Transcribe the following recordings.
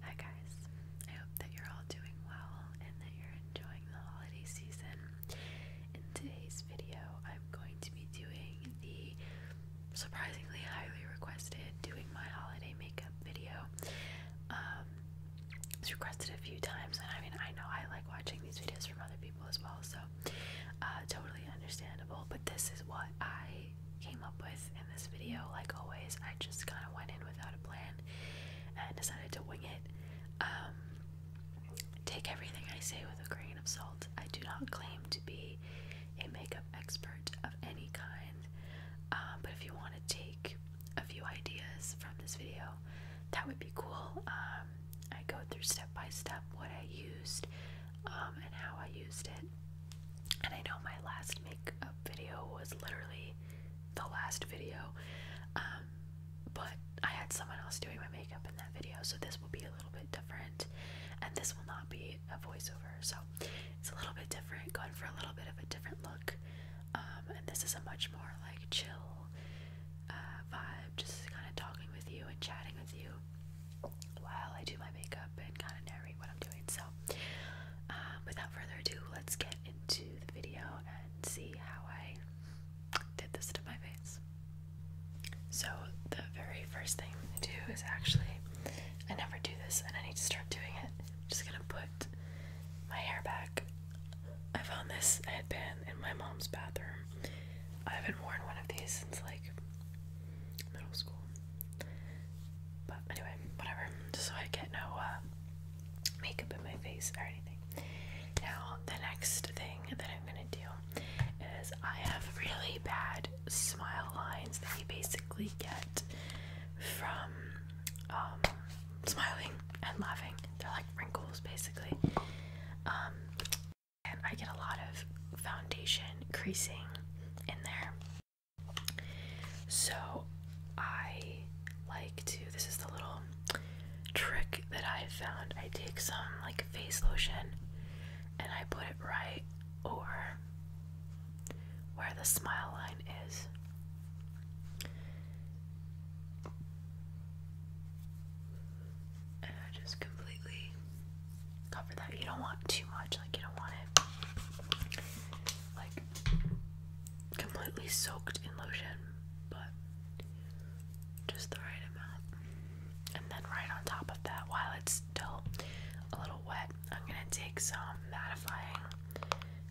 Hi guys, I hope that you're all doing well and that you're enjoying the holiday season. In today's video, I'm going to be doing the surprisingly highly requested doing my holiday makeup video. Um, it's requested a few times, and I mean, I know I like watching these videos from other people as well, so uh, totally understandable. But this is what I came up with in this video. Like always, I just kind of went in without a plan and decided to wing it. Um, take everything I say with a grain of salt. I do not claim to be a makeup expert of any kind, uh, but if you want to take a few ideas from this video, that would be cool. Um, I go through step by step what I used um, and how I used it. And I know my last makeup video was literally the last video, um, but I had someone else doing my makeup in that video, so this will be a little bit different. And this will not be a voiceover, so it's a little bit different, going for a little bit of a different look. Um, and this is a much more like chill uh, vibe, just kind of talking with you and chatting with you while I do my makeup and kind of narrate what I'm doing. So, um, without further ado, let's get into the video and see how I did this to my face. So, the very first thing I am gonna do is actually, I never do this and I need to start doing it. I'm just gonna put my hair back. I found this headband in my mom's bathroom. I haven't worn one of these since like middle school. But anyway, whatever. Just so I get no uh, makeup in my face or anything. Now, the next thing that I'm gonna do is I have really bad smile lines that you basically get from um, smiling and laughing. They're like wrinkles, basically. Um, and I get a lot of foundation creasing in there. So I like to, this is the little trick that I found. I take some like face lotion and I put it right over where the smile line is. And I just completely cover that. You don't want too much, like you don't want it like completely soaked in lotion, but just the right amount. And then right on top of that, while it's still a little wet, I'm gonna take some mattifying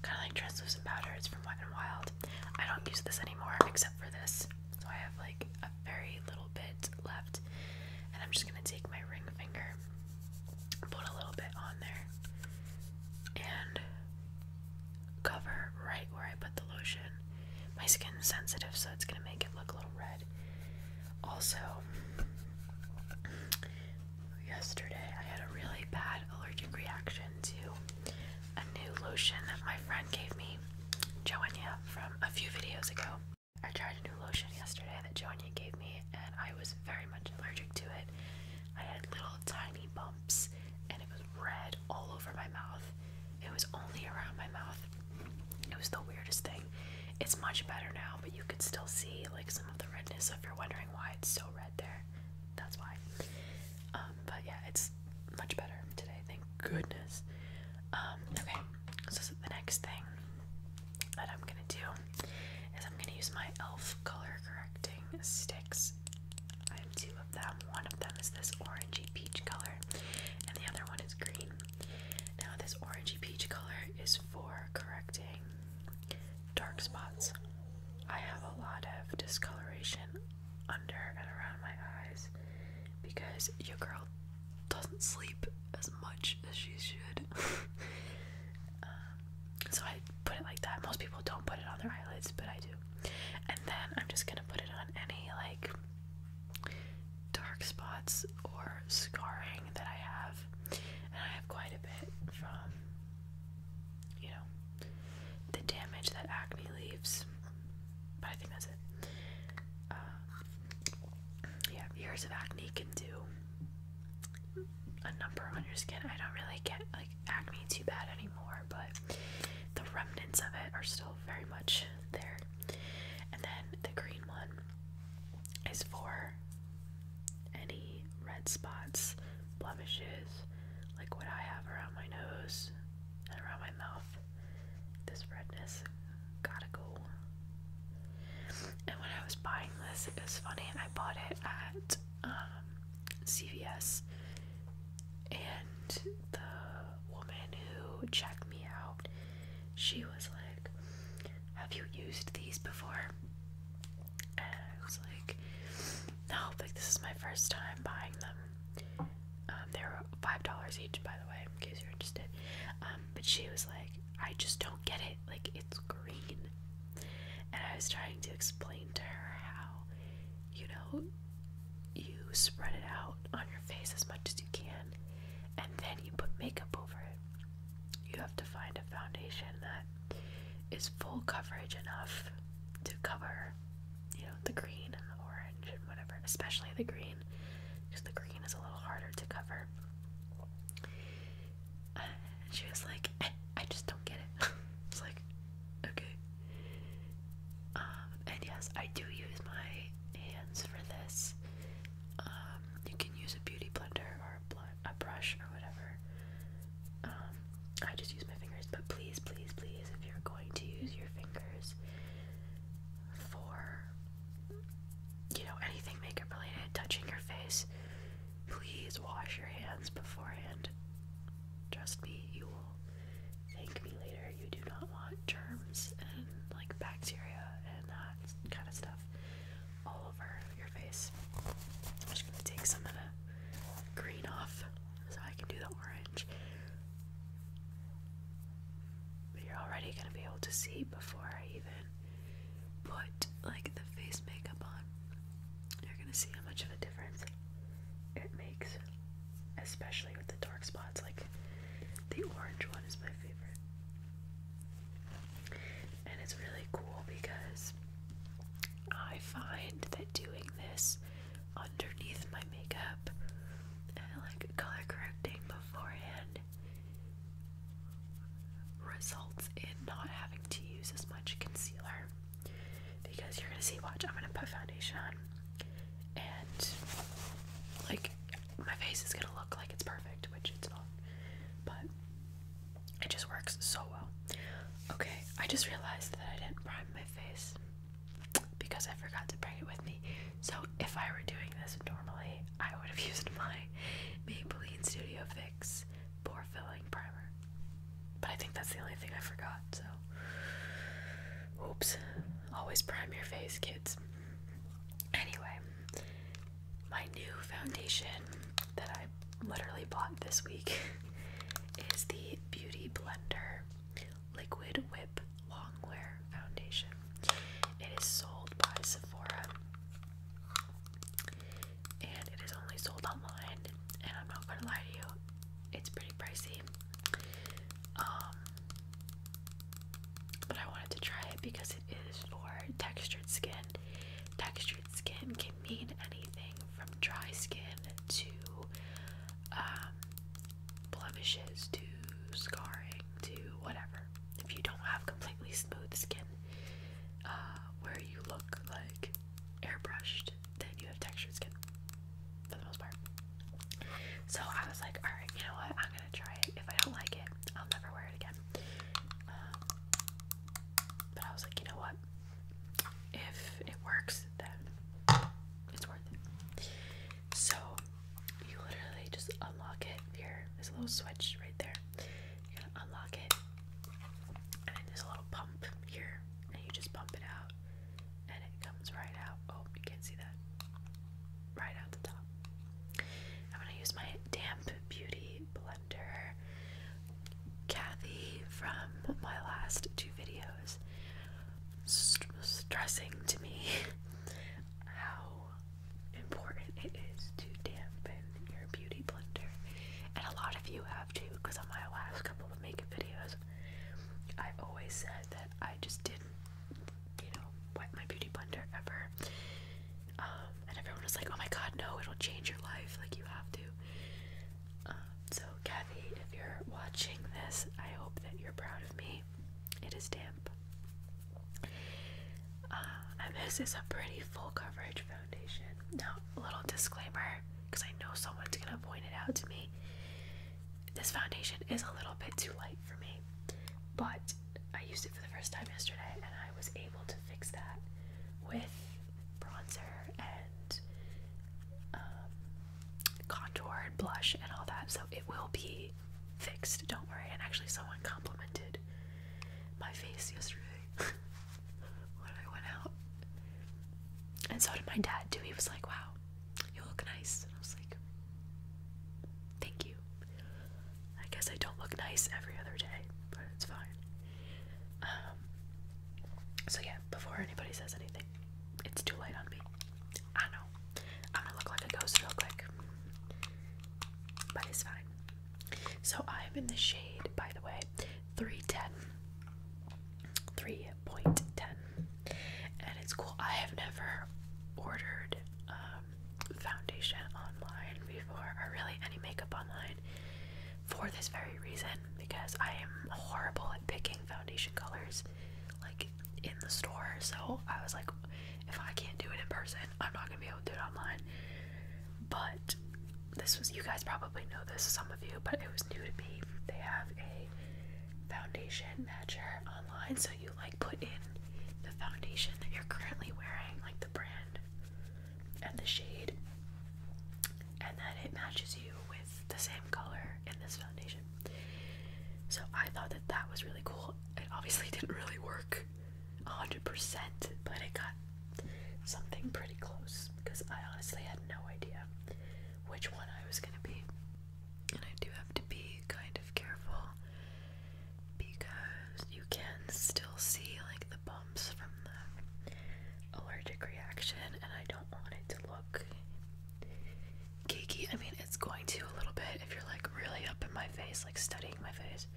kind of like translucent powder. It's from Wet n Wild. I don't use this anymore except for this, so I have like a very little bit left, and I'm just gonna take my ring finger, put a little bit on there, and cover right where I put the lotion. My skin's sensitive, so it's gonna make it look a little red. Also, yesterday I had a really bad allergic reaction to a new lotion that my friend gave me, Joania, from a few videos ago. I tried a new lotion yesterday that Joania gave me, and I was very much allergic to it. I had little tiny bumps, and it was red all over my mouth. It was only around my mouth. It was the weirdest thing. It's much better now, but you could still see like some of the redness if you're wondering why it's so red there. That's why. Um, um, but yeah, it's much better today, thank goodness. Um, okay, so the next thing that I'm gonna do is I'm gonna use my e.l.f. color correcting sticks. I have two of them. One of them is this orangey peach color, and the other one is green. Now, this orangey peach color is for correcting dark spots. I have a lot of discoloration under and around my eyes because your girl doesn't sleep as much as she should. Um, so I put it like that. Most people don't put it on their eyelids, but I do. And then I'm just gonna put it on any like dark spots or scarring that I have. And I have quite a bit from you know, the damage that acne leaves. But I think that's it. Uh, yeah, years of acne can do a number on your skin. I don't really get like acne too bad anymore, but the remnants of it are still very much there. And then the green one is for any red spots, blemishes, like what I have around my nose and around my mouth. This redness gotta go. And when I was buying this, it was funny. I bought it at um, CVS, and the woman who checked me out, she was like, "Have you used these before?" and I was like, no, like this is my first time buying them. Um, they were five dollars each, by the way, in case you're interested. Um, but she was like, I just don't get it. Like it's green, and I was trying to explain to her how, you know, you spread it out on your face as much as you can, and then you put makeup over it. You have to find a foundation that is full coverage enough to cover you know, the green and the orange and whatever, especially the green, because the green is a little harder to cover. and she was like, eh, I just don't get it. I was like, okay. Um, and yes, I do use my hands for this. Um, you can use a beauty blender or a brush or whatever. Um, I just use my fingers, but please, please, please, if you're going to use your fingers for you know anything makeup related, touching your face, please wash your hands beforehand. Trust me, you will thank me later. You do not want germs and like bacteria and that kind of stuff all over your face. I'm just gonna take some of the green off so I can do the orange. But you're already going to be able to see before I even put like the face makeup on. You're going to see how much of a difference it makes, especially with the dark spots. Like the orange one is my favorite. And it's really cool because I find that doing this underneath my makeup and like color correcting beforehand results in not having to use as much concealer because you're gonna see watch I'm gonna put foundation on and like my face is gonna look like it's perfect which it's not but it just works so well okay I just realized that I didn't prime my face because I forgot to bring it with me. So if I were doing this normally, I would have used my Maybelline Studio Fix pore filling primer. But I think that's the only thing I forgot, so oops. Always prime your face, kids. Anyway, my new foundation that I literally bought this week is the Beauty Blender Liquid Whip Longwear Foundation. It is sold by Sephora and it is only sold online and I'm not gonna lie to you, it's pretty pricey. Um but I wanted to try it because it is for textured skin. Textured skin can mean anything from dry skin to um, blemishes to scarring to whatever. If you don't have completely smooth skin uh, where you look like airbrushed, then you have textured skin for the most part. So I was like, alright, you know what? I'm gonna try it. If I don't like it, I'll never wear it again. Um, but I was like, you know what? if it works, then it's worth it. So you literally just unlock it here. There's a little switch right there. You're gonna unlock it, and then there's a little pump here, and you just pump it out, and it comes right out. Oh, you can't see that. Right out the top. I'm gonna use my damp beauty blender. Kathy from my last two videos videos stressing to me how important it is to dampen your beauty blender. And a lot of you have too, because on my last couple of makeup videos, I always said that I just didn't, you know, wipe my beauty blender ever. Um, and everyone was like, oh my god, no, it'll change your life. Like, you have to. Um, so, Kathy, if you're watching this, I hope that you're proud of me. It is damp. Uh, and this is a pretty full coverage foundation. Now, a little disclaimer, because I know someone's going to point it out to me. This foundation is a little bit too light for me, but I used it for the first time yesterday and I was able to fix that with bronzer and contour and um, blush and all that. So it will be fixed, don't worry. And actually, someone complimented my face yesterday when I went out. And so did my dad, too. He was like, wow, you look nice. And I was like, thank you. I guess I don't look nice every other day, but it's fine. Um, so yeah, before anybody says anything, it's too late on me. I know. I'm gonna look like a ghost real quick. But it's fine. So I'm in the shade, by the way, 310. 3.10. And it's cool. I have never ordered um, foundation online before, or really any makeup online, for this very reason because I am horrible at picking foundation colors like in the store. So I was like, if I can't do it in person, I'm not gonna be able to do it online. But this was you guys probably know this, some of you, but it was new to me. They have a foundation matcher online, so you like put in the foundation that you're currently wearing, like the brand and the shade, and then it matches you with the same color in this foundation. So I thought that that was really cool. It obviously didn't really work 100%, but it got something pretty close because I honestly had no idea which one I was going to be. And I do have to be kind of careful because you can still see like the bumps from the allergic reaction, and I don't want it to look geeky. I mean, it's going to a little bit if you're like really up in my face, like studying my face.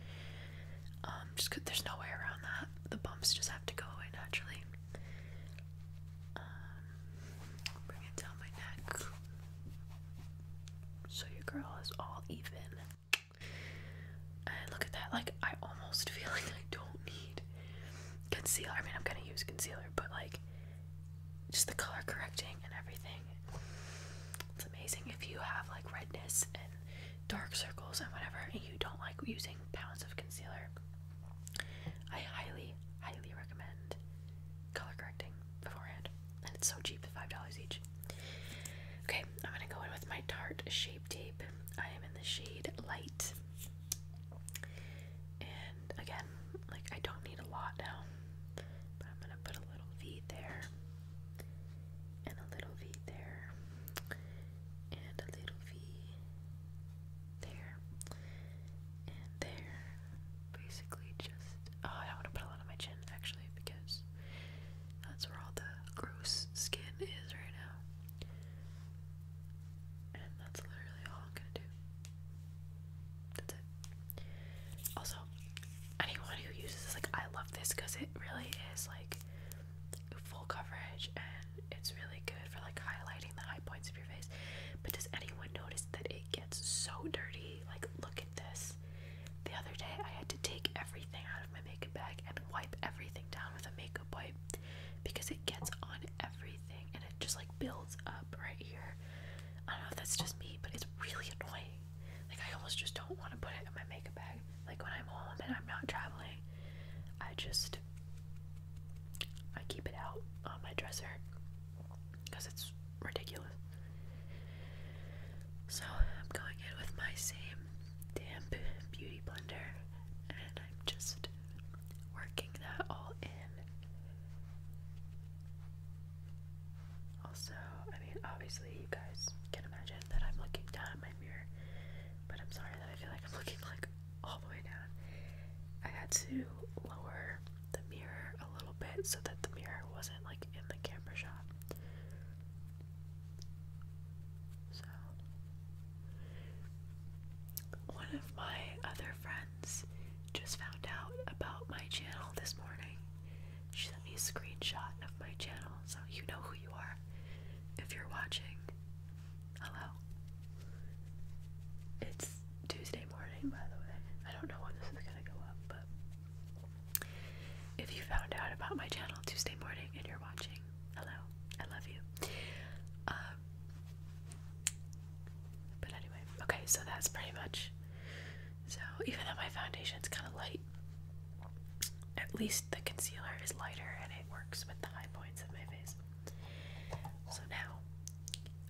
Um, just cause there's no way around that. The bumps just have to go away naturally. Um, bring it down my neck. So your girl is all even. And look at that. Like I almost feel like I don't need concealer. I mean, I'm gonna use concealer, but like just the color correcting and everything. It's amazing if you have like redness and dark circles and whatever, and you don't like using pounds of concealer. I highly, highly recommend color correcting beforehand, and it's so cheap five dollars each. Okay, I'm gonna go in with my Tarte Shape Tape. I am in the shade Light. And again, like I don't need a lot now, but I'm gonna put a little V there, and a little V there, and a little V there, and there. Basically, just oh, I don't want to put a lot on my chin actually because that's where all the gross skin is right now. And that's literally all I'm gonna do. Also, anyone who uses this, like, I love this because it really is like full coverage and it's really good for like highlighting the high points of your face. But does anyone notice that it gets so dirty? Like, look at this. The other day, I had to take everything out of my makeup bag and wipe everything down with a makeup wipe because it gets on everything and it just like builds up right here. I don't know if that's just me, but it's really annoying. Like I almost just don't want to put it in my makeup bag. Like when I'm home and I'm not traveling, I just I keep it out on my dresser because it's ridiculous. So I'm going in with my same damp beauty blender and I'm just working that all in also, I mean, obviously, you guys can imagine that I'm looking down at my mirror, but I'm sorry that I feel like I'm looking like all the way down. I had to lower the mirror a little bit so that the mirror wasn't like in the camera shot. So, one of my other friends just found out about my channel this morning. She sent me a screenshot of my channel, so you know who you are if you're watching. Hello. It's Tuesday morning, by the way. I don't know when this is gonna go up, but if you found out about my channel Tuesday morning and you're watching, hello. I love you. Um, but anyway, okay, so that's pretty much. So even though my foundation is kind of light, at least the concealer is lighter and it works with the high points of my face. So now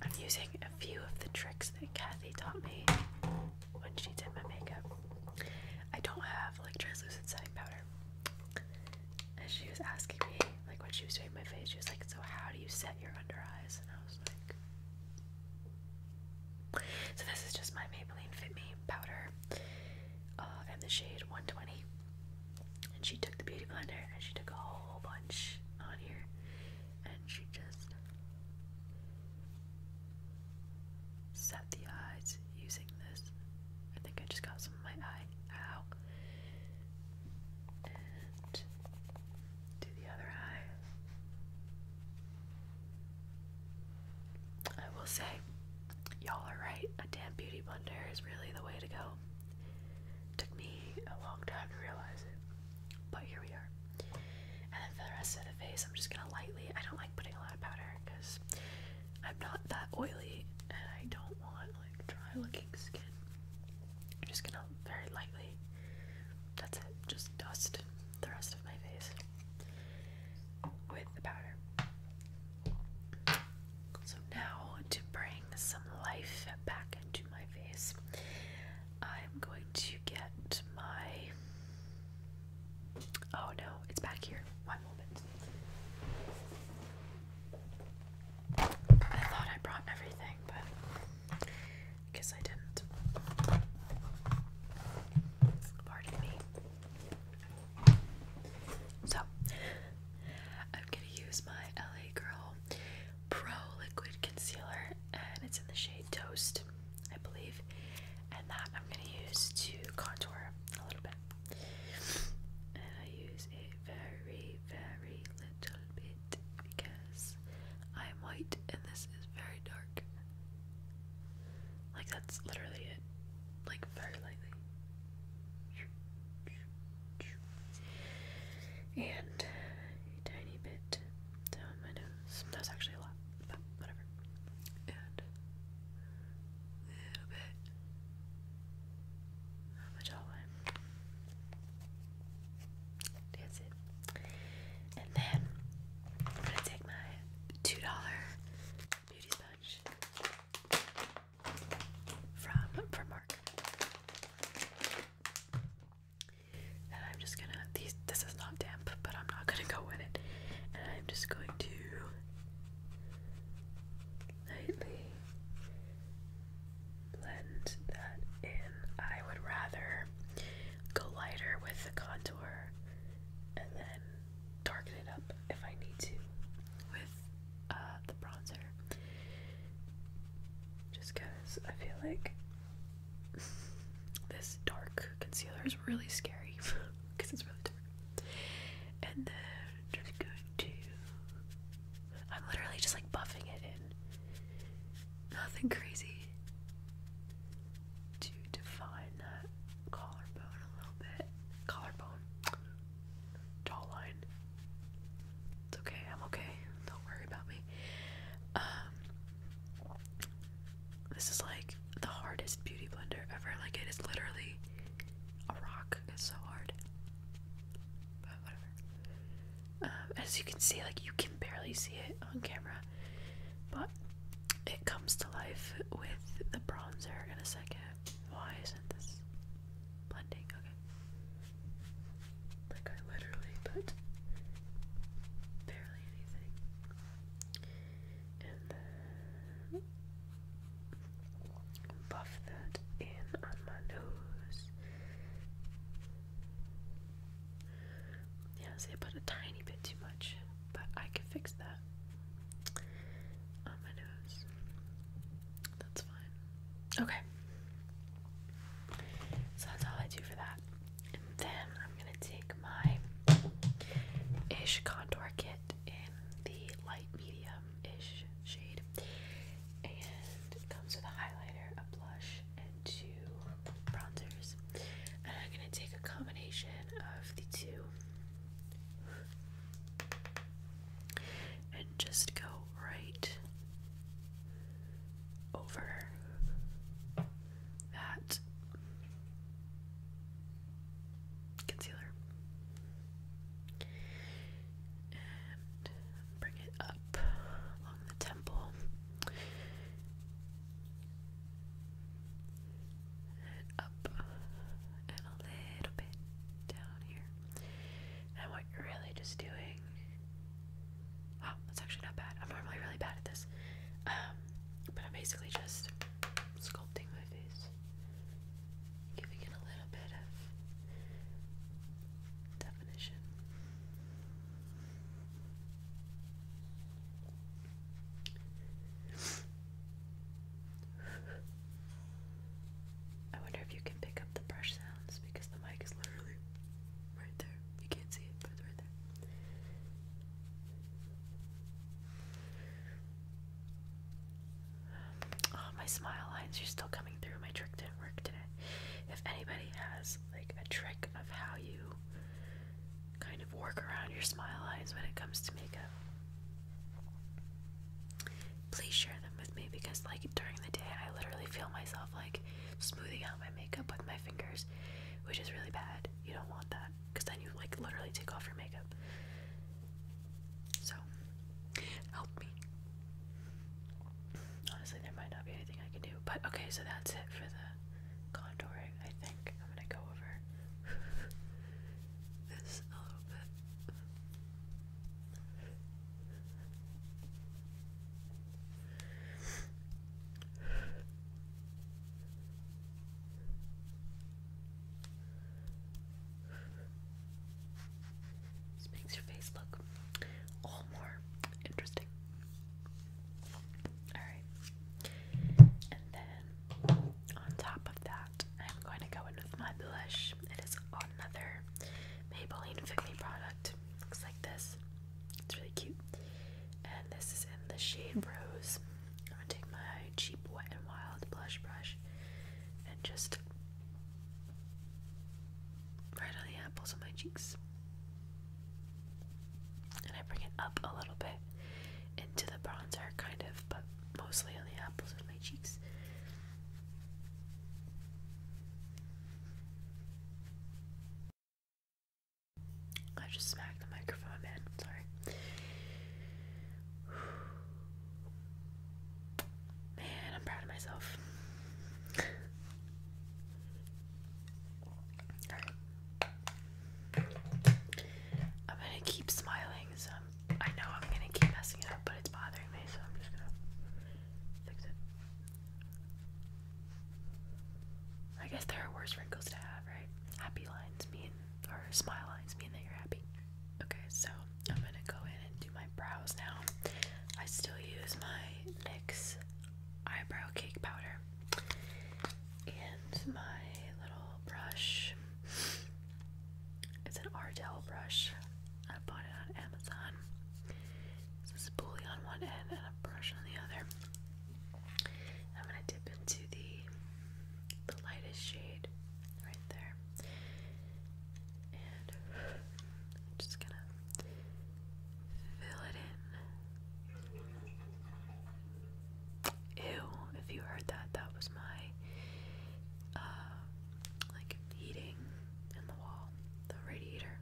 I'm using a few of the tricks that Kathy taught me when she did my makeup. I don't have like translucent setting powder. And she was asking me, like when she was doing my face, she was like, So how do you set your under and So this is just my Maybelline Fit Me powder, uh, and the shade 120. And she took the beauty blender and she took a whole bunch on here, and she just set the eyes using this. I think I just got some of my eye. out. And do the other eye. I will say, y'all are right. A damp beauty blender is really the way to go. Took me a long time to realize it, but here we are. And then for the rest of the face, I'm just gonna lightly. I don't like putting a lot of powder because I'm not that oily, and I don't want like dry looking skin. I'm just gonna very lightly. That's it. Just dust the rest of my face with the powder. So now to bring some life back into my face, I'm going to get my. Oh no, it's back here. One moment. I thought I brought everything, but guess I didn't. Pardon me. So, I'm gonna use my LA Girl Pro Liquid Concealer, and it's in the shade Toast, I believe. And that I'm gonna use to contour a little bit. And I use a very, very little bit because I am white and this is very dark. Like, that's literally it. Like, very lightly. And a tiny bit down my nose. That's actually a lot, but whatever. And a little bit on my jawline. That's it. And then I'm gonna take my two dollar beauty sponge from Primark. And I'm just gonna this is not damp, but I'm not gonna go in it. And I'm just going to lightly blend that in. I would rather go lighter with the contour and then darken it up if I need to with uh, the bronzer. Just because I feel like this dark concealer is really scary because it's really dark. And then just go to I'm literally just like buffing it in. Nothing crazy. To define that collarbone a little bit. Collarbone. Jawline. It's okay, I'm okay. Don't worry about me. Um This is like the hardest beauty blender ever. Like it is literally a rock. It's so hard. But whatever. Uh, as you can see, like you can barely see it on camera, but it comes to life with the bronzer in a second. Why isn't this blending? Okay. Like I literally put barely anything. And then buff that in on my nose. Yes, I put a tiny bit too much, but I can fix that That's fine. Okay. So that's all I do for that. And then I'm gonna take my ish contour kit in the light medium ish shade and it comes with a highlighter, a blush, and two bronzers. And I'm gonna take a combination of the two and just go right over that concealer bring it up along the temple. up and a little bit down here. And what you're really just doing. Wow, oh, that's actually not bad. I'm normally really bad at this. Um, but I'm basically just sculpting my face, giving it a little bit of definition. I wonder if you can pick up the brush sounds because the mic is literally right there. You can't see it, but it's right there. Um, oh, my smile lines are still coming through. My trick didn't work today. If anybody has like a trick of how you kind of work around your smile lines when it comes to makeup. Please share them with me because, like, during the day, I literally feel myself like smoothing out my makeup with my fingers, which is really bad. You don't want that because then you like literally take off your makeup. So, help me honestly, there might not be anything I can do. But okay, so that's it for the contouring. I think I'm gonna go over this a little bit. This makes your face look all more interesting. Alright. And then on top of that, I'm going to go in with my blush. It is another Maybelline Fit Me product. Looks like this. It's really cute. And this is in the shade Rose. I'm going to take my cheap Wet n Wild blush brush and just right on the apples of my cheeks. And I bring it up a little bit into the bronzer, kind of, but mostly on the apples of my cheeks. I just smacked the microphone, man. Sorry. Man, I'm proud of myself. I'm gonna keep smiling, so i know I'm gonna keep messing it up, but it's bothering me, so I'm just gonna fix it. I guess there are worse wrinkles to have, right? Happy lines mean, or smile lines mean that you're happy. Okay, so I'm gonna go in and do my brows now. I still use my NYX eyebrow cake powder and my little brush. It's an Ardell brush. I bought it on Amazon. This is a pulley on one end and a brush on the other. I'm gonna dip into the the lightest shade right there, and just gonna Fill it in. Ew, if you heard that, that was my, uh, like, heating in the wall, the radiator.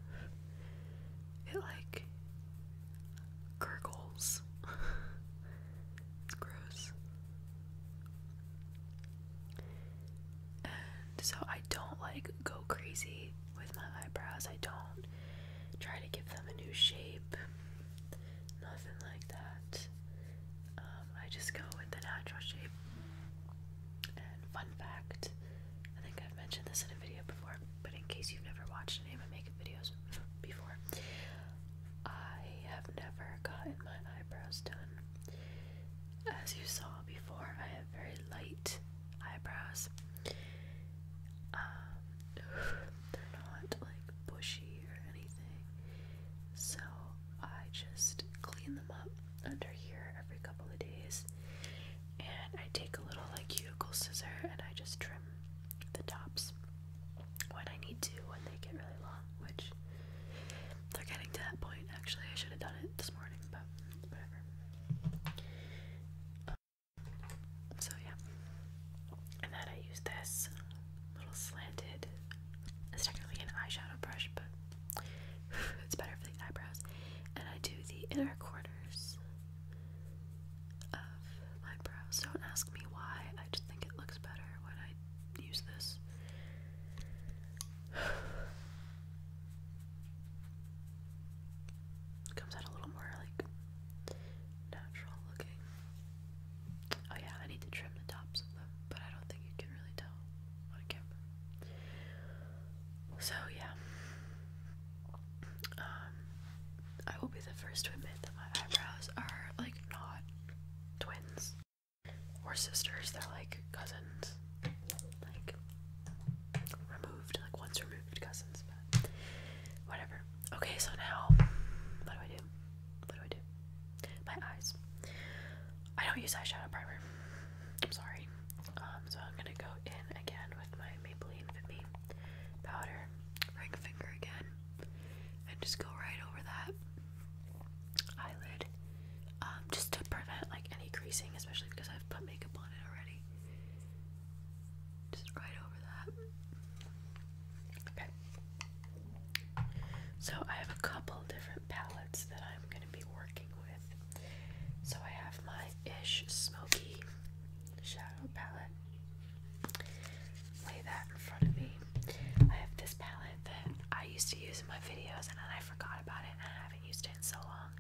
It, like, gurgles. it's gross. And so I don't, like, go crazy with my eyebrows. I don't try to give them a new shape, nothing like that. Um, I just go with the natural shape. And fun fact I think I've mentioned this in a video before, but in case you've never watched any of my makeup videos before, I have never gotten my eyebrows done. As you saw before, I have very light eyebrows. Um, they're not like bushy or anything, so I just clean them up under here every couple of days, and I take a little like cuticle scissor and I just trim the tops when I need to when they get really long, which they're getting to that point. Actually, I should have done it this morning, but whatever. So yeah. And then I use this little slanted it's technically an eyeshadow brush, but it's better for the eyebrows. And I do the inner corners of my brows. Don't ask me why, I just think it looks better when I use this. comes out a little more like natural looking. Oh yeah, I need to trim the tops of them, but I don't think you can really tell on camera. So yeah. Um I will be the first to admit that my eyebrows are like not twins or sisters, they're like cousins. Like removed, like once removed cousins whatever. Okay, so now what do I do? What do I do? My eyes. I don't use eyeshadow primer. I'm sorry. Um, so I'm gonna go in again with my Maybelline Fit Me powder, ring finger again, and just go right over that eyelid, um, just to prevent like any creasing, especially because I've put makeup on it already. Just right over that. So I have a couple different palettes that I'm going to be working with. So I have my Ish Smoky Shadow palette. Lay that in front of me. I have this palette that I used to use in my videos and then I forgot about it and I haven't used it in so long.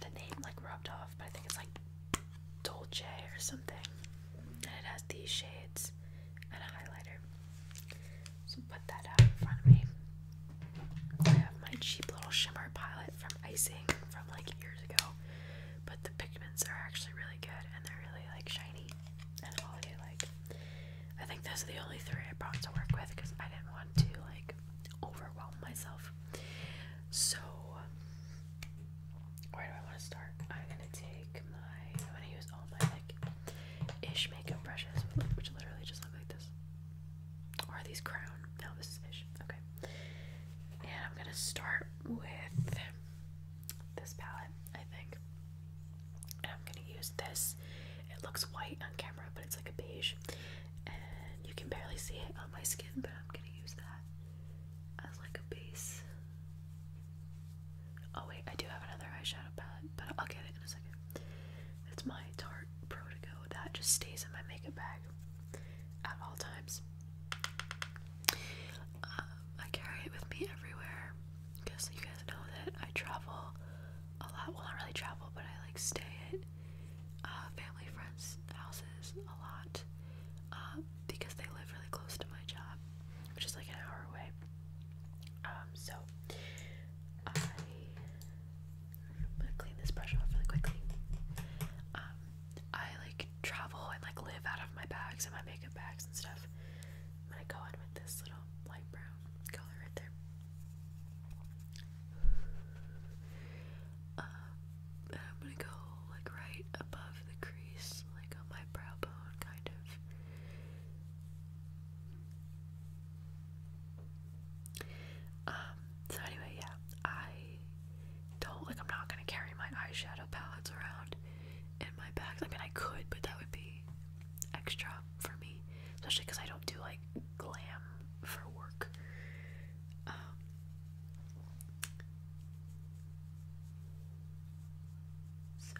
The name like rubbed off, but I think it's like Dolce or something. And it has these shades and a highlighter. So put that out in front of me. I have my cheap little shimmer palette from Icing from like years ago. But the pigments are actually really good and they're really like shiny and holiday like. I think those are the only three I brought to work with because I didn't want to like overwhelm myself so, where do I want to start? I'm gonna take my. I'm gonna use all my like ish makeup brushes, which literally just look like this. Or these crown. No, this is ish. Okay. And I'm gonna start with this palette, I think. And I'm gonna use this. It looks white on camera, but it's like a beige and you can barely see it on my skin, but I'm gonna use that as like a base. Oh wait, I do have another eyeshadow palette, but I'll get it in a second. It's my Tarte Pro Go that just stays in my makeup bag at all times. Um, I carry it with me everywhere because you guys know that I travel a lot. Well, not really travel, but I like stay it. Uh, family friends' houses a lot um, because they live really close to my job, which is like an hour away. Um, so I, am gonna clean this brush off really quickly. Um, I like travel and like live out of my bags and my makeup bags and stuff. I'm gonna go in with this little light brown color right there and I'm gonna go like right above the crease, like on my brow bone, kind of. Um, so anyway, yeah, I don't like, I'm not gonna carry my eyeshadow palettes around in my bags. I mean, I could, but that would be extra for me, especially because I don't do like glam for work. Um, so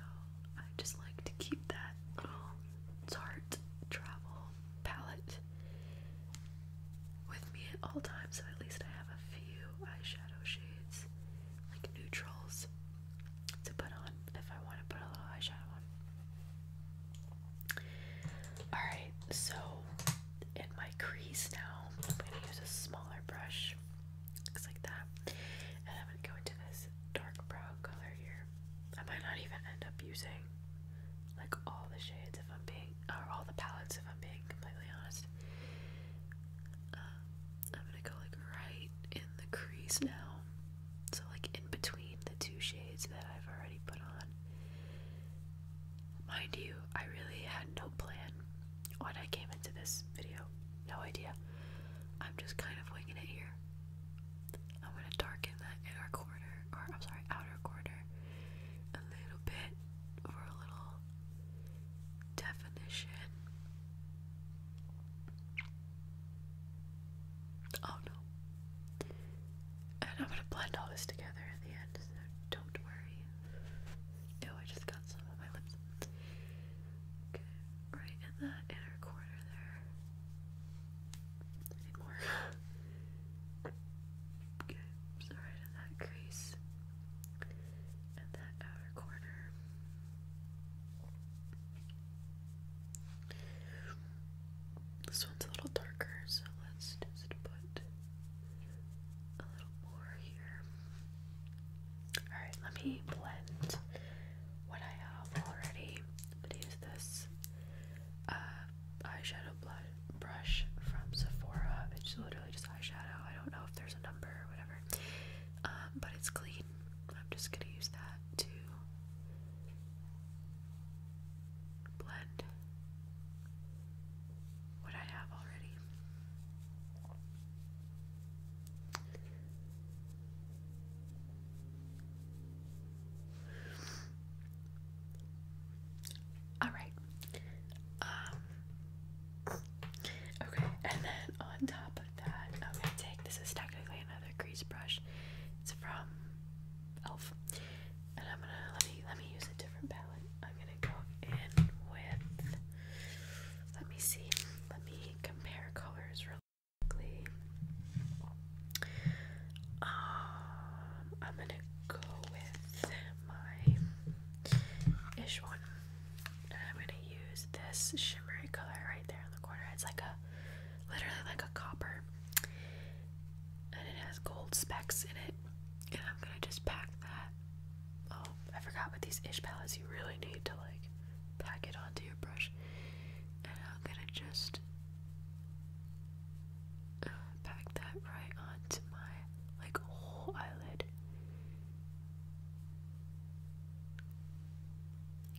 I just like to keep that little um, Tarte travel palette with me at all times, so at least I have a few eyeshadow shades, like neutrals, to put on if I want to put a little eyeshadow on. Alright, so in my crease now. I'm going to use a smaller brush, looks like that. And I'm going to go into this dark brown color here. I might not even end up using like all the shades if I'm being, or all the palettes if I'm being completely honest. Uh, I'm going to go like right in the crease now. So, like in between the two shades that I've already put on. Mind you, I really had no plan when I came into this video. No idea. I'm just kind of winging it here. I'm gonna darken that inner corner, or I'm sorry, outer corner, a little bit for a little definition. Oh no. And I'm gonna blend all this together at the end, so don't worry. Oh, I just got some on my lips. Okay, right in the inner corner there. I more. okay, right in that crease. And that outer corner. This one's a little darker, so let's just put a little more here. Alright, let me blend what I have already. I'm use this uh, eyeshadow brush from Sephora. It's literally just eyeshadow. I don't know if there's a number or whatever. Um, but it's clean. I'm just going to use that to blend what I have already. All right. Um, okay, and then on top of that, I'm gonna take this is technically another grease brush. It's from Elf, and I'm gonna let me let me use a different palette. I'm gonna go in with. Let me see. Let me compare colors really quickly. Um, I'm gonna go with my ish I'm gonna use this shimmery color right there in the corner. It's like a, literally like a copper, and it has gold specks in it. And I'm gonna just pack that oh, I forgot with these ish palettes, you really need to like pack it onto your brush. And I'm gonna just uh, pack that right onto my like whole eyelid.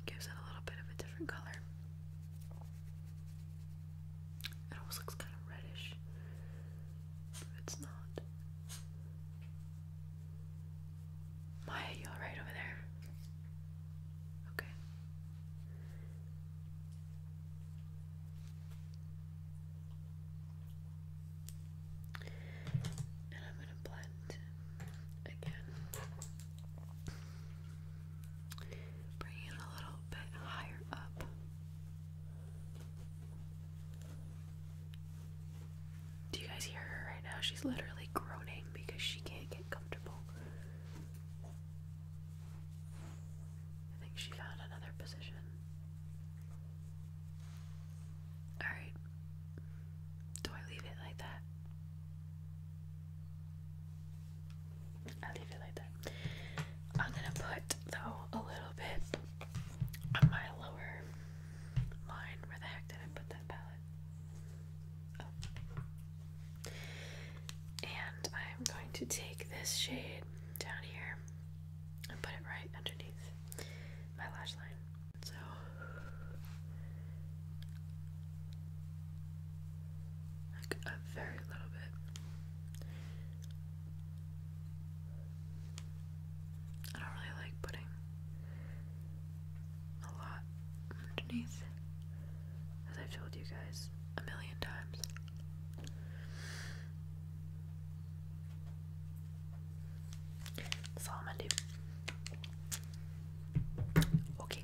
Gives it a little bit of a different color. It almost looks kind of reddish it's not. Maya, you alright over there? Okay. And I'm going to blend again. Bring it a little bit higher up. Do you guys hear her right now? She's literally groaning because she can't get comfortable. I think she found another position. Alright. Do I leave it like that? i leave it like that. I'm gonna put, though, a little bit my lower line. Where the heck did I put that palette? Oh. And I'm going to take this shade down here and put it right underneath my lash line. So. Like a very little bit. I don't really like putting a lot underneath, as I've told you guys a million times. That's all I'm gonna do. Okay.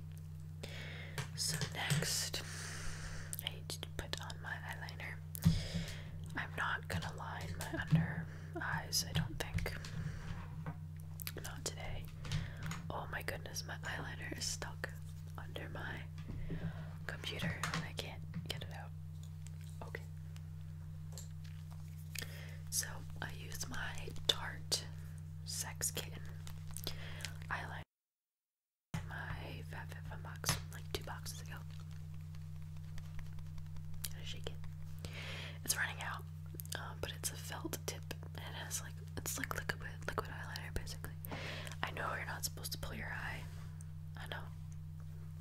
So next, I put on my eyeliner. I'm not gonna line my under eyes, I don't think. Not today. Oh my goodness, my eyeliner is stuck under my computer and I can't get it out. Okay. So I use my Tarte Sex Kitten eyeliner like two boxes ago. Gotta shake it. It's running out, um, but it's a felt tip, it has like it's like liquid liquid eyeliner basically. I know you're not supposed to pull your eye. I know,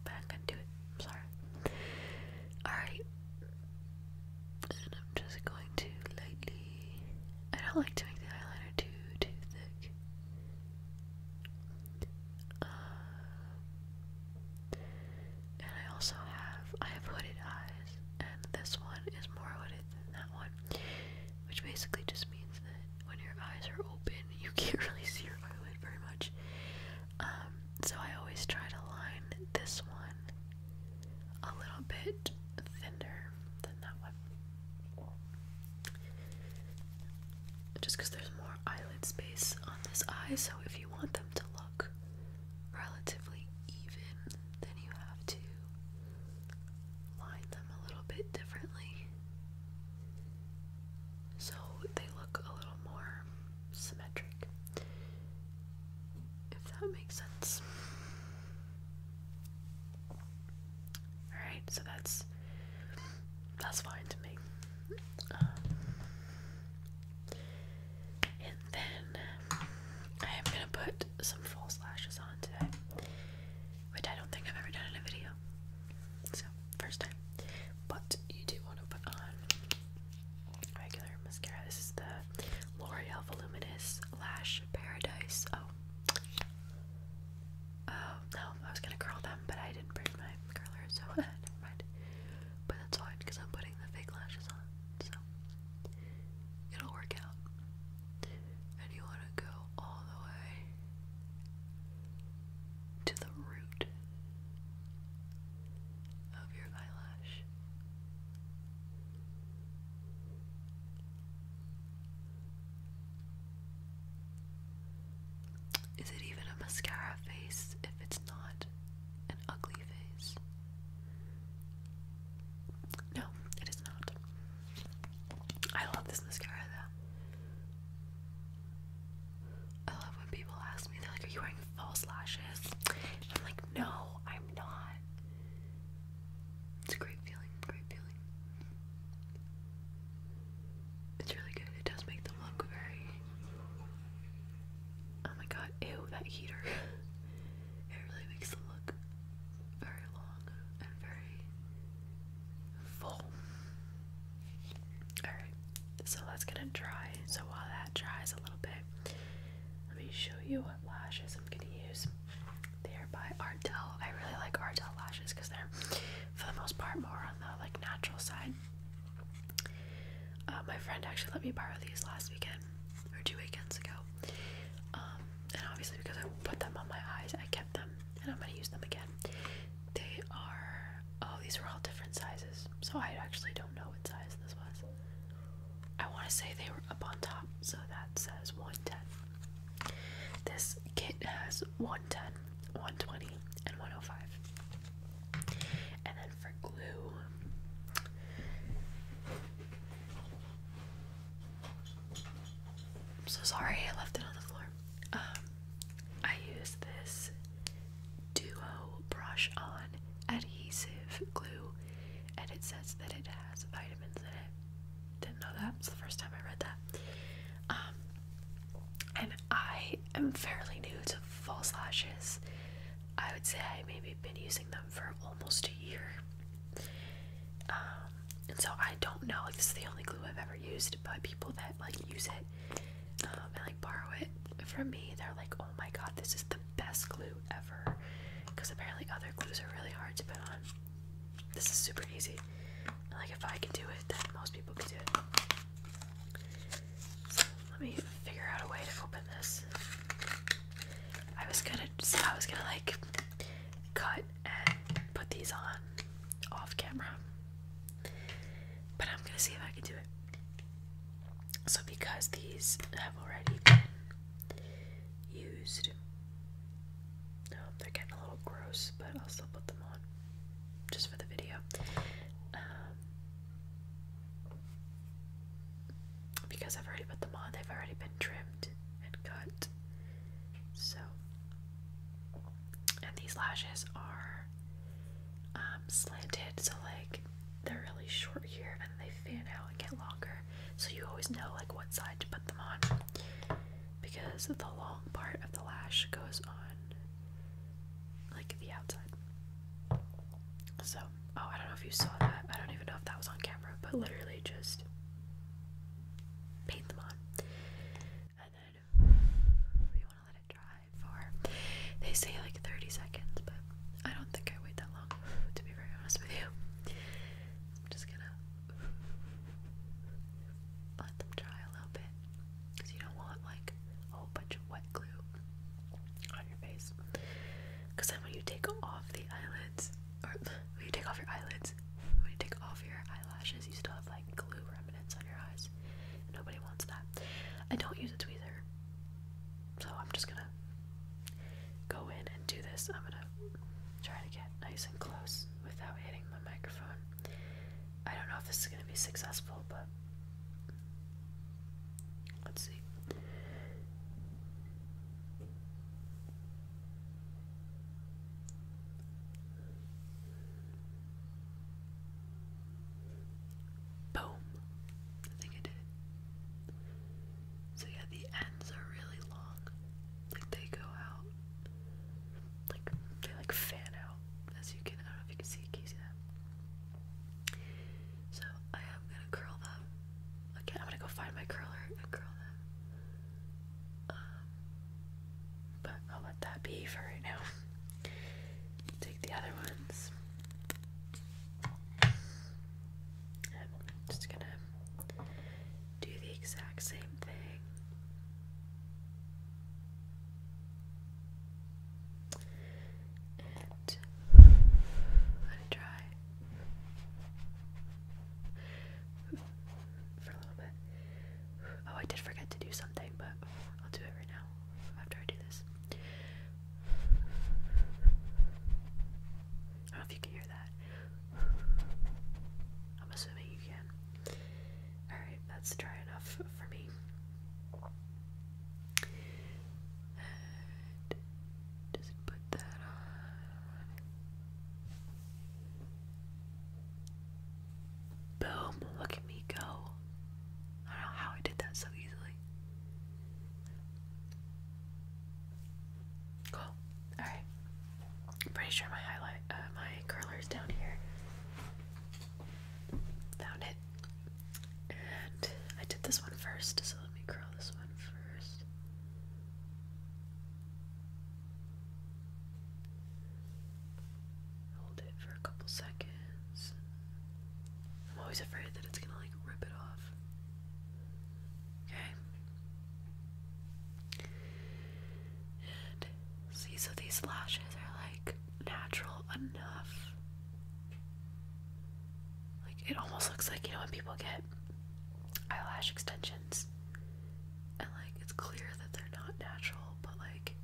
but I'm gonna do it. sorry. All right, and I'm just going to lightly. I don't like to make the eyeliner too too thick. Uh, and I also have I have hooded eyes, and this one is more hooded than that one, which basically just means that when your eyes are open, you can't really see your eyelid very much. Um, so I always try to line this one a little bit thinner than that one just because there's more eyelid space on this eye, so if you want them to look relatively even, then you have to line them a little bit differently so they look a little more symmetric, if that makes sense. Alright, so that's that's fine to me. Um, and then I am gonna put some false lashes on today, which I don't think I've ever done in a video. So first time, but you do want to put on regular mascara. This is the L'Oreal Voluminous Lash Paradise. Oh, Oh, no, I was gonna curl them, but I didn't bring my curler, so But that's fine, because I'm putting the fake lashes on, so it'll work out. And you wanna go all the way to the root of your eyelash. Is it even a mascara face if it's not an ugly face? No, it is not. I love this mascara though. I love when people ask me, they're like, Are you wearing false lashes? I'm like, No, I'm not. It's a great feeling, great feeling. It's really good. It does make them look very. Oh my god, ew, that heater. it really makes them look very long and very full. Alright, so that's gonna dry. So while that dries a little bit, let me show you what lashes I'm gonna use. They are by Ardell. I really like Ardell lashes because they're, for the most part, more on the like natural side. Uh, my friend actually let me borrow these last weekend or two weekends ago. Um, and obviously, because I put them on my eyes, I kept them and I'm going to use them again. They are, oh, these were all different sizes. So I actually don't know what size this was. I want to say they were up on top, so that says 110. This kit has 1 110, 120, and 105. And then for glue, I'm so sorry I left it on the floor. Um, I use this Duo Brush On Adhesive Glue, and it says that it has vitamins in it. Didn't know that. It's the first time I read that. Um, and I I am fairly new to false lashes. I would say I maybe been using them for almost a year. Um, and so I don't know, like this is the only glue I've ever used, but people that like use it um, and like borrow it from me, they're like, oh my god, this is the best glue ever. Because apparently other glues are really hard to put on. This is super easy. like if I can do it, then most people can do it. So let me figure out a way to open this. I was gonna, so I was gonna like cut and put these on off camera, but I'm gonna see if I can do it. So because these have already been used, no, oh, they're getting a little gross, but I'll still put them on just for the video. Um, because I've already put them on, they've already been trimmed and cut. So, and these lashes are um, slanted, so like they're really short here and they fan out and get longer, so you always know like what side to put them on because the long part of the lash goes on like the outside. So, oh, I don't know if you saw that. I don't even know if that was on camera, but literally just paint them on. And then we want to let it dry for, they say like 30 seconds, but I don't think I wait that long, to be very honest with you. I'm just gonna let them dry a little bit because you don't want like a whole bunch of wet glue on your face. Because then when you take off the eyelids, or when you take off your eyelids, when you take off your eyelashes, you still have like glue remnants on your eyes. nobody wants that. I don't use a tweezer, so I'm just gonna go in and do this. I'm gonna try to get nice and close without hitting my microphone. I don't know if this is gonna be successful, but Let's see. Boom. I think I did it. So yeah, the ends are really long. Like they go out. Like they like fan out. As you can I don't know if you can see can you see that? So I am gonna curl them. Again, I'm gonna go find my curler and curl them. Um, but I'll let that be for right now. Take the other ones. I'm just gonna do the exact same thing let it dry for a little bit. Oh, I did forget to do something, but I'll do it right now after I do this. I don't know if you can hear that. I'm assuming you can. Alright, that's dry enough for me just put that on. Boom! Look at me go. I don't know how I did that so easily. Cool. All right. I'm pretty sure my highlight, uh, my curler is down here. Found it. And I did this one first, so let me curl this one first. Hold it for a couple seconds. I'm always afraid that it's gonna like rip it off. Okay. And see, so these lashes are like natural enough. Like it almost looks like you know when people get eyelash extensions and like it's clear that they're not natural, but like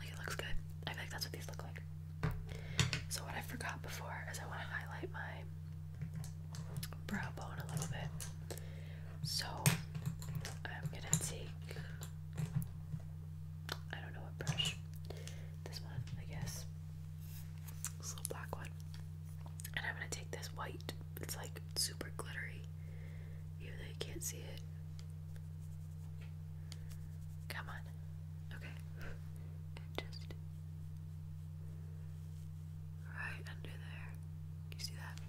like it looks good. I think that's what these look like. So what I forgot before is I want to highlight my brow bone a little bit. So I'm gonna take I don't know what brush. This one, I guess. This little black one. And I'm gonna take this white. It's like super glittery. Even though you can't see it. Come on. Okay. And just right under there. you see that?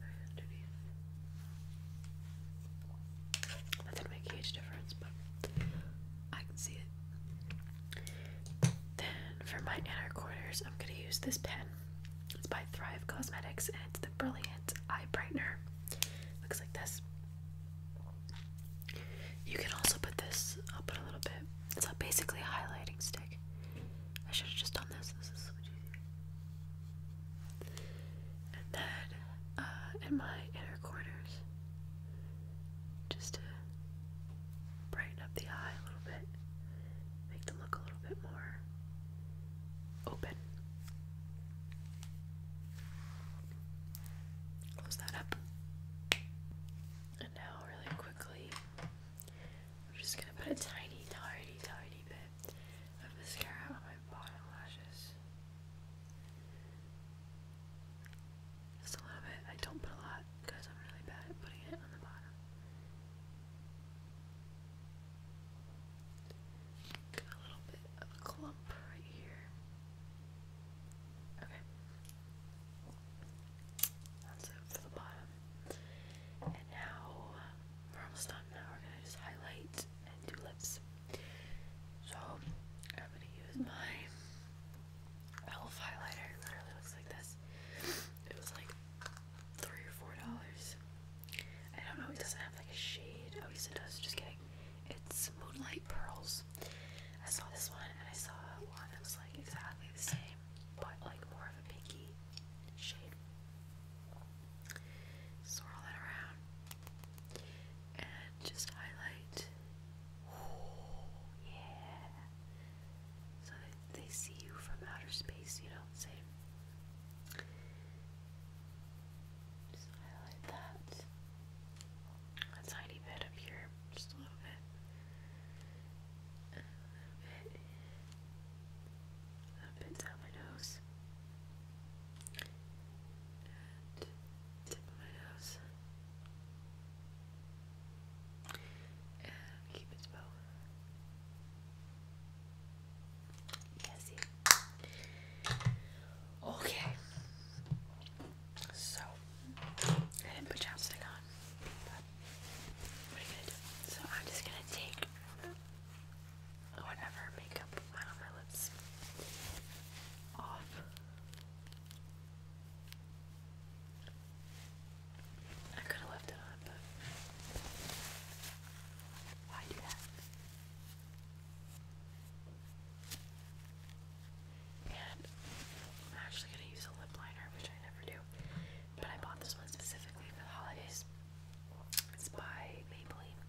Right underneath. That's difference, but I can see it. Then for my inner corners, I'm gonna use this pen. It's by Thrive Cosmetics and the Brilliant Eye Brightener. Looks like this. You can also put this, up will a little bit it's not basically a highlighting stick. I should have just done this. This is so much easier. And then uh, in my inner corners, just to brighten up the eye a little bit, make them look a little bit more open. Close that up. And now, really quickly, I'm just gonna put a tiny, tiny, tiny bit of mascara on my bottom lashes. Just a little bit. I don't put a lot because I'm really bad at putting it on the bottom. a little bit of a clump right here. Okay, that's it for the bottom. And now we're almost done. Now we're gonna just highlight and do lips. So I'm gonna use my elf highlighter. literally looks like this. It was like three or four dollars. I don't know, it doesn't have like a shade. Oh yes it does, just kidding. It's Moonlight Pearls. I saw this one and I saw one that was like exactly the same but like more of a pinky shade. Swirl that around and just highlight. yeah. So that they see you from outer space, you know, same. Just highlight that. A tiny bit up here, just a little bit a little bit down my nose tip of my nose and keep its bow. Yes, Okay. So I didn't put chapstick on, so I'm just gonna take whatever makeup went my lips off. I could have left it on, but why do that? And I'm actually gonna use a lip liner, which I never do. But I bought this one specifically for the holidays. It's by Maybelline.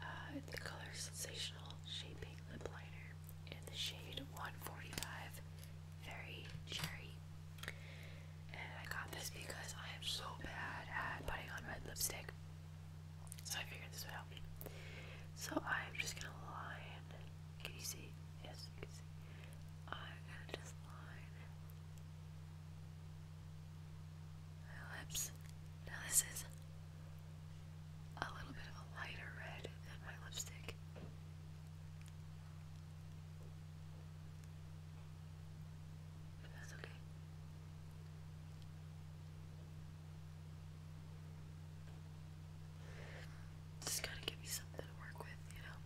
Uh, the color Sensational Shaping Lip Liner in the shade 145 Very Cherry. And I got this because I am so bad at putting on red lipstick. So I figured this would help So I'm just gonna line can you see? Yes, I'm gonna just line my lips. Now this is a little bit of a lighter red than my lipstick. that's okay. Just gotta give me something to work with, you know.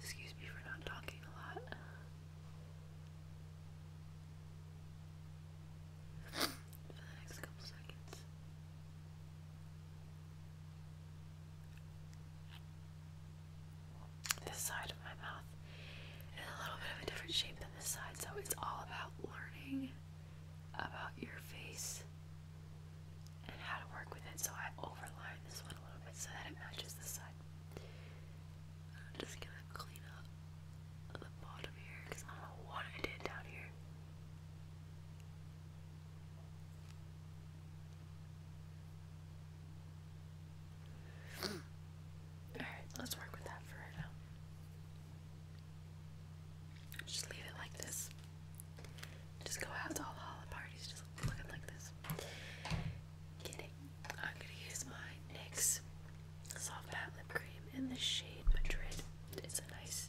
Excuse me for not talking a lot. for the next couple seconds this side of my mouth in a little bit of a different shape than this side. So it's all about learning about your face and how to work with it. So I overline this one a little bit so that it matches the side. I'm just gonna clean up the bottom here because I don't know what I did down here. Alright, let's work with that for right now. Just leave it like this. Just go out to all the parties, just looking like this. Kidding. I'm gonna use my NYX Soft Matte Lip Cream in the shade Madrid. It's a nice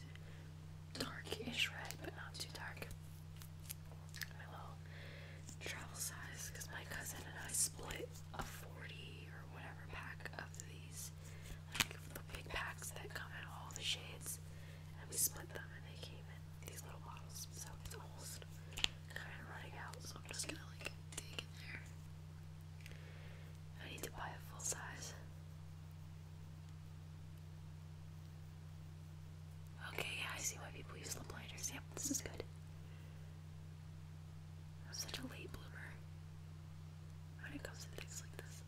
darkish red, but not too dark. My little travel size, because my cousin and I split a 40 whatever pack of these, like the big packs that come in all the shades, and we split them and they came in these little bottles. So it's almost kind of running out, so I'm just gonna like dig in there. I need to buy a full size. Okay, I see why people use the blinders. Yep, this is good. I'm such a late bloomer when it comes to things like this.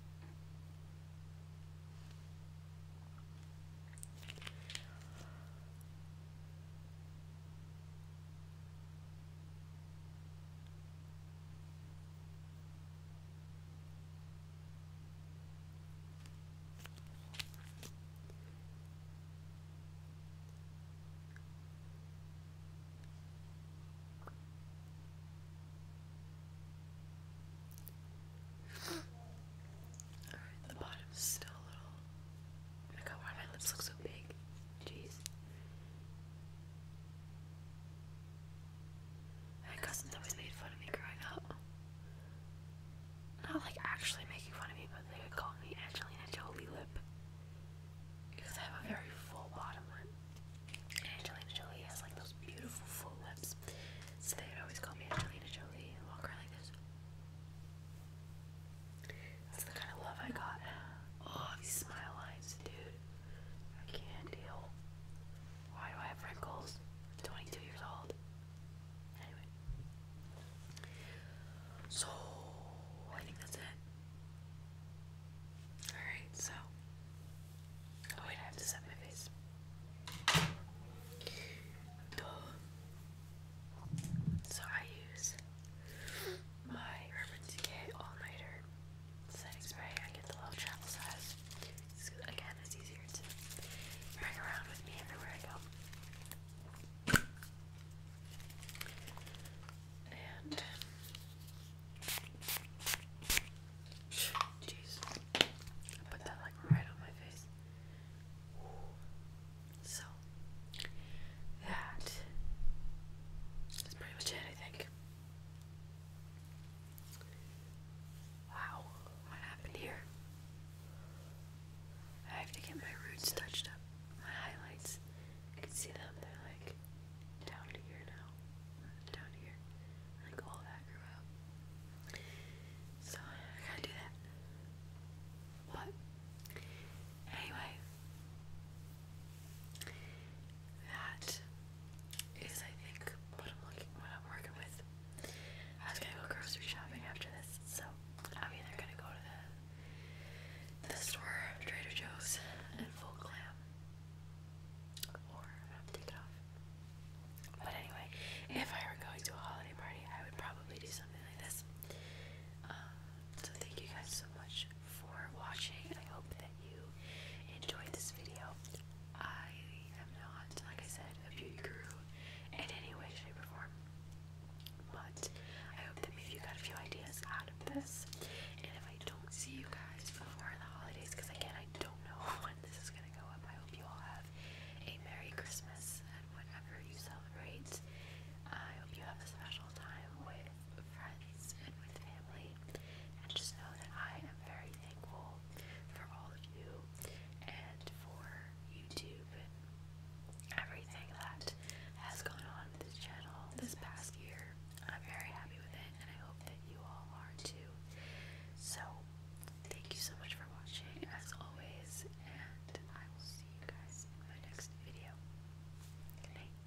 Alright, the bottom still a little. my god, why do my lips look so big? Jeez. My cousins always made fun of me growing up. Not like actually making fun of me, but they would call me Angelina Jolie Lip because I have a very full bottom one. Angelina Jolie has like those beautiful full lips, so they would always call me Angelina Jolie and walk around like this. That's the kind of love I got. Oh, these smile lines, dude. I can't deal. Why do I have wrinkles? 22 years old. Anyway. So I think that's it. Alright, so oh wait, I have to set my face. So I use my Urban Decay All Nighter setting spray. I get the little travel size. again, it's easier to bring around with me everywhere I go. And jeez, I put that like right on my face. So that is pretty much it, I think. Wow, what happened here? I have to get my roots touched up, my highlights. I can see them. They're like down here now, down here. Like all that grew out. So I gotta do that. What? Anyway, that is I think what I'm looking, what I'm working with. I was gonna go grocery shopping after this, so I'm either gonna go to the the store Trader Joe's and full glam. But anyway, if I were going to a holiday party, I would probably do something like this. Um, so thank you guys so much for watching. I hope that you enjoyed this video. I am not, like I said, a beauty guru in any way, shape, or form. But I hope that maybe you got a few ideas out of this. And if I don't see you guys before the holidays, because I can't, I don't know when this is going to go up, I hope you all have a Merry Christmas and whatever you celebrate. I hope you have a special time with friends and with family. And just know that I am very thankful for all of you and for YouTube and everything that has gone on this channel this past year. I'm very happy with it, and I hope that you all are too. So, thank you so much for watching, as always, and I will see you guys in my next video. Good night.